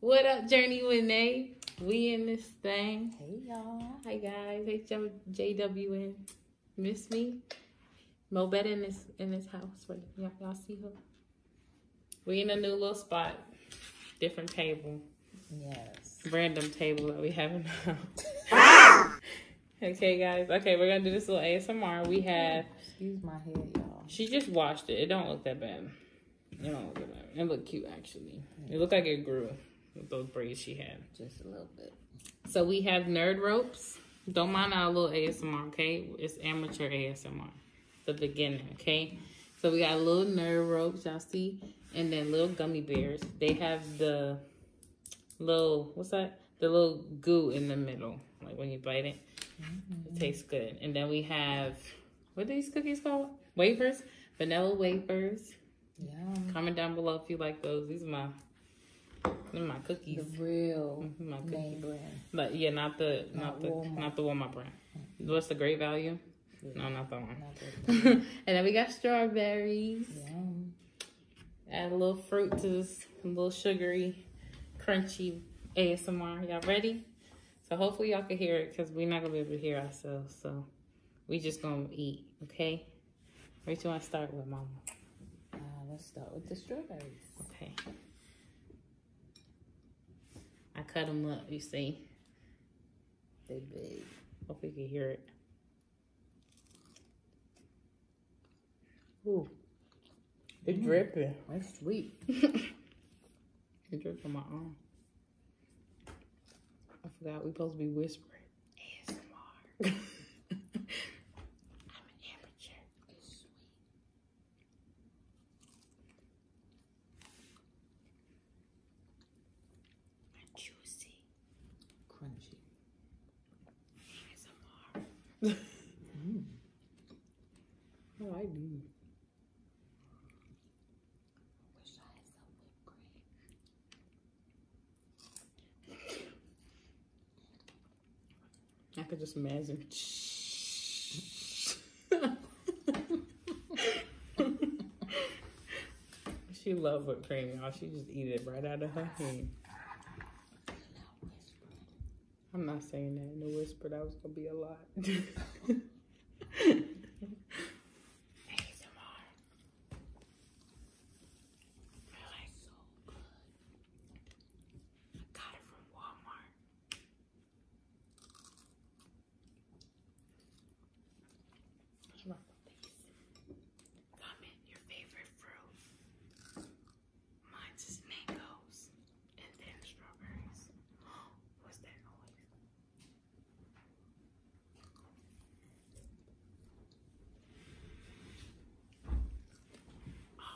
What up, Journey with Nay? We in this thing. Hey y'all. Hi guys. Hey JWN. Miss me? Mo better in this in this house. Y'all, y'all see her? We in a new little spot, different table. Yes. Random table that we haven't. okay, guys. Okay, we're gonna do this little ASMR. We have. Excuse my head, y'all. She just washed it. It don't look that bad. It don't look that bad. It looked cute actually. It looked like it grew with those braids she had. Just a little bit. So we have nerd ropes. Don't mind our little ASMR, okay? It's amateur ASMR the beginning, okay? So we got little nerve ropes, y'all see? And then little gummy bears. They have the little, what's that? The little goo in the middle, like when you bite it. Mm It mm-hmm. tastes good. And then we have, what are these cookies called? Wafers? Vanilla wafers. Yeah. Comment down below if you like those. These are my, my cookies. The real mm-hmm, my cookie brand. But yeah, not the not, the not the warm up brand. What's the Great Value? No, not that one. and then we got strawberries. Add a little fruit to this, a little sugary, crunchy ASMR. Y'all ready? So hopefully y'all can hear it because we're not gonna be able to hear ourselves. So we just gonna eat, okay? Where do you wanna start with, Mama? Uh, let's start with the strawberries. Okay. I cut them up, you see. They big. Hope you can hear it. Ooh. It's mm. dripping. That's sweet. it dripped on my arm. I forgot we are supposed to be whispering. ASMR. I'm an amateur. It's sweet juicy. Crunchy. Mm. Oh, I do. I wish I had some whipped cream. I could just imagine. she love whipped cream, y'all. She just eat it right out of her hand. I'm not saying that in a whisper. That was gonna be a lot. I love these. Comment your favorite fruit. Mine's is mangoes and then strawberries. What's that noise? um,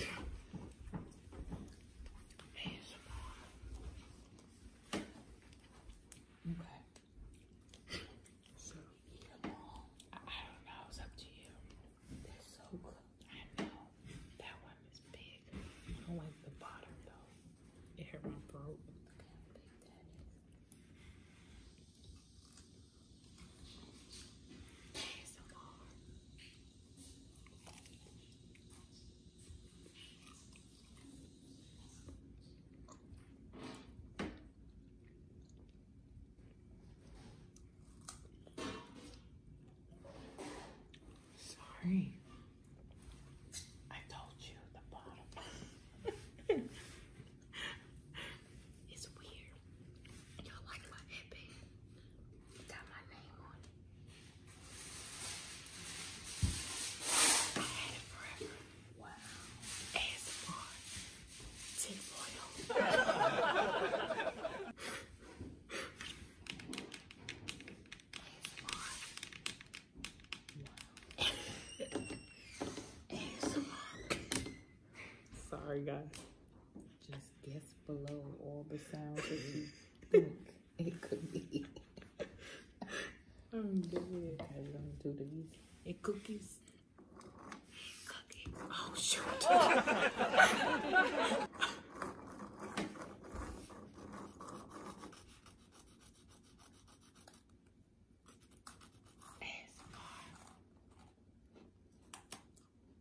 Okay. So eat them all. I, don't know. It's up to you. They're so good. I know. That one is big. I don't like the bottom though. It hit my throat. Look how big that is. Sorry. I told you the bottom. it's weird. Y'all like my headband. Got my name on it. I had it forever. Wow. ASMR. Tinfoil. Sorry, guys. Just guess below all the sounds that you think it could be. I'm good. I love to do these. And cookies. Cookies. Oh, shoot.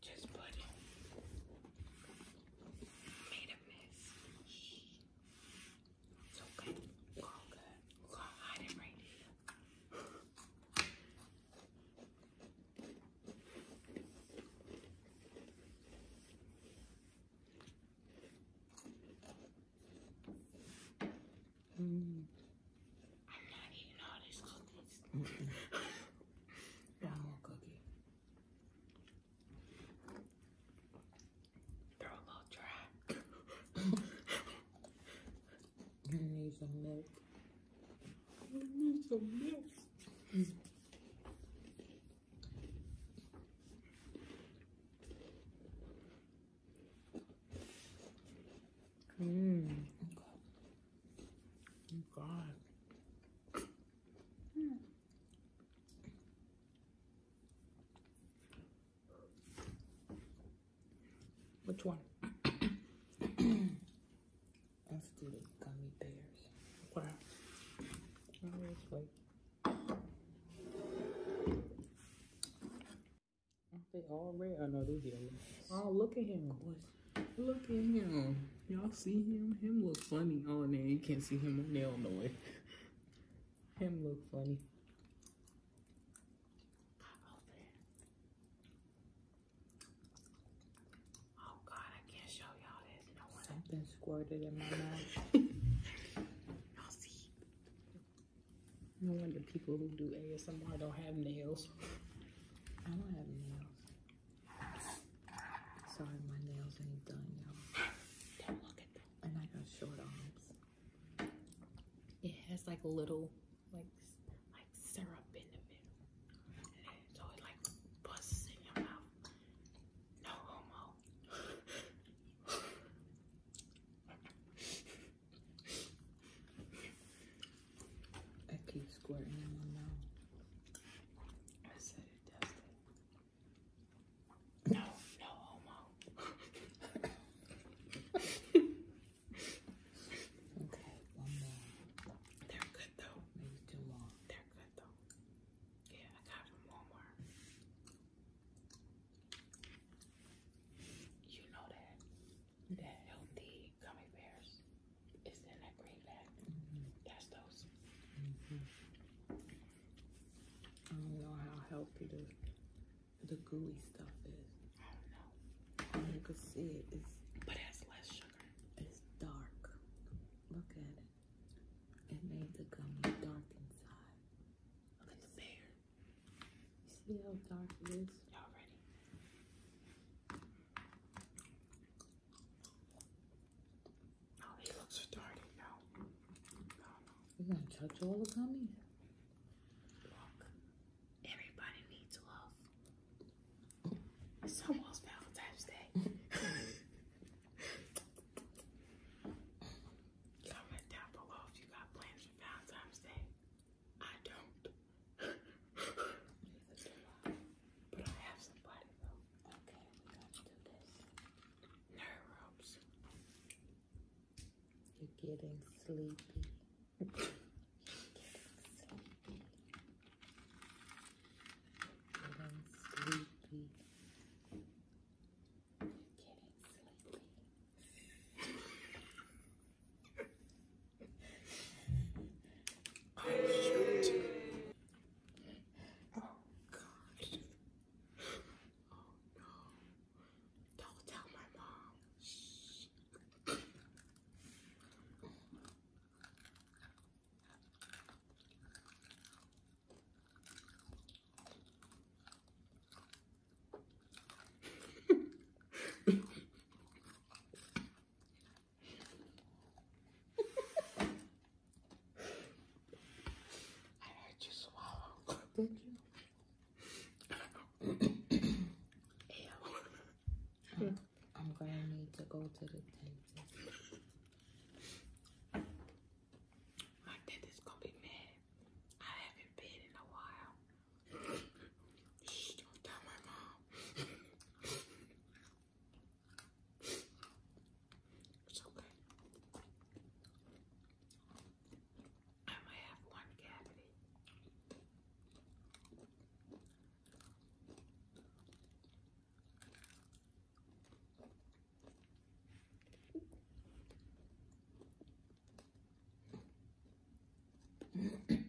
just put it. Made a mess. It's okay. all good. hide it right here. Mm. I'm not eating all this cookies. One more cookie. They're dry. need some milk. need some milk. Mmm. God. Which one? i us do the gummy bears. What? Seriously. are they all red? Oh no, they're yellow. Oh, look at him. Look at him. Y'all see him? Him look funny. Oh, man, you can't see him on nail no way. Him look funny. Oh God, I can't show y'all this. Something squirted in my mouth. y'all see? No wonder people who do ASMR don't have nails. I don't have nails. Sorry, my nails ain't done, y'all. do look at that. And I got short arms. It has like little, like, like syrup in the middle. And it, like busts in your mouth. No homo. I keep squirting in my mouth. I said it does it. No, no homo. okay, one more. They're good though. Maybe too long. They're good though. Yeah, I got one more. You know that that healthy gummy bears it's in that green bag. That's those. Mm-hmm. I don't know how healthy the the gooey stuff is. I don't know. You can see It's but it has less sugar. It's dark. Look at it. It made the gummy dark inside. Look at the bear. You see how dark it is? Y'all ready? Oh, he looks started now. you gonna touch all the gummies? Look, everybody needs love. It's almost Valentine's Day. Comment down below if you got plans for Valentine's Day. I don't. But I have somebody though. Okay, we're do this. Nerve ropes. You're getting sleepy. getting sleepy. getting sleepy. shoot. Oh god! Oh no. Don't tell my mom. Shh. I heard you swallow. Did you? I'm, gonna need to go to the dentist. My dentist gonna be mad. I haven't been in a while. don't tell my mom. It's okay. I only have one cavity.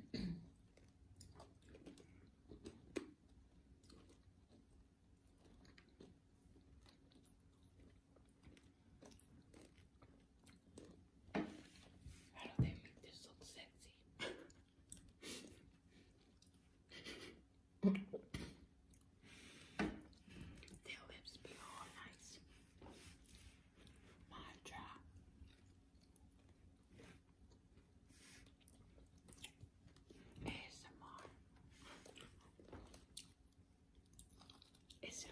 How do they make this look sexy? Their lips be all nice. My dry. ASMR is in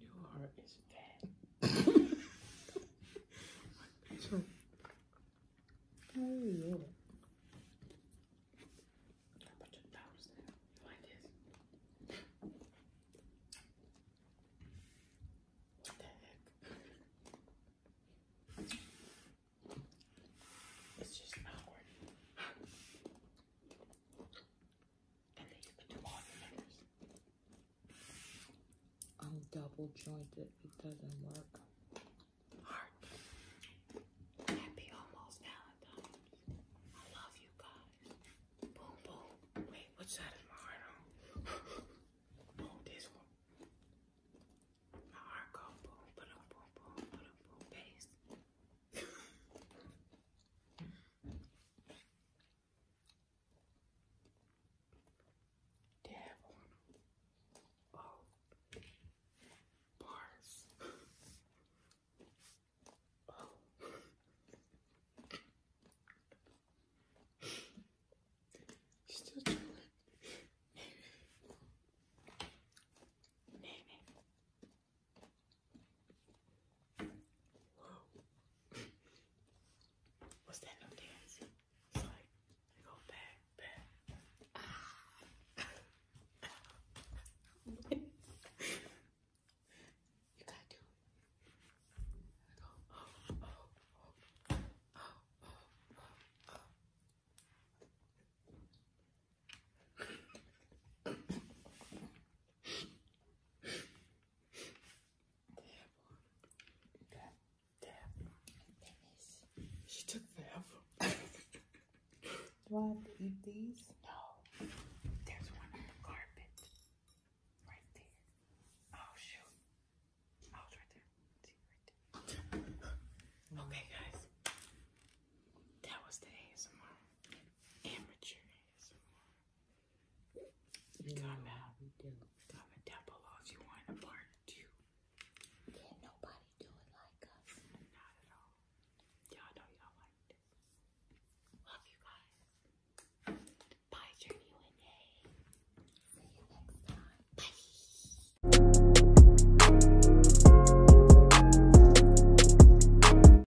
Your heart is fat. so, oh yeah. I put your down like this. What the heck? It's just not working. I'm double jointed, it doesn't work. Heart. Happy almost Valentine's. I love you guys. Boom, boom. Wait, what side is my heart on? this one. My heart goes boom, boom, boom, boom, boom, bass. Devil. Oh. Bars. oh. Still doing it. Name What's that no dance? It's like they go back, back. you gotta oh. She took forever. Do I have to eat these? No. There's one carpet. Right there. Oh, shoot. Oh, right there. See, right there. Okay, guys. That was the ASMR. Amateur ASMR. Comment, we do. comment down below if you want part two. Yeah, nobody do like us. Not at all. Y'all know y'all like this. Love you guys. Bye, Journey Wendy. See you Bye.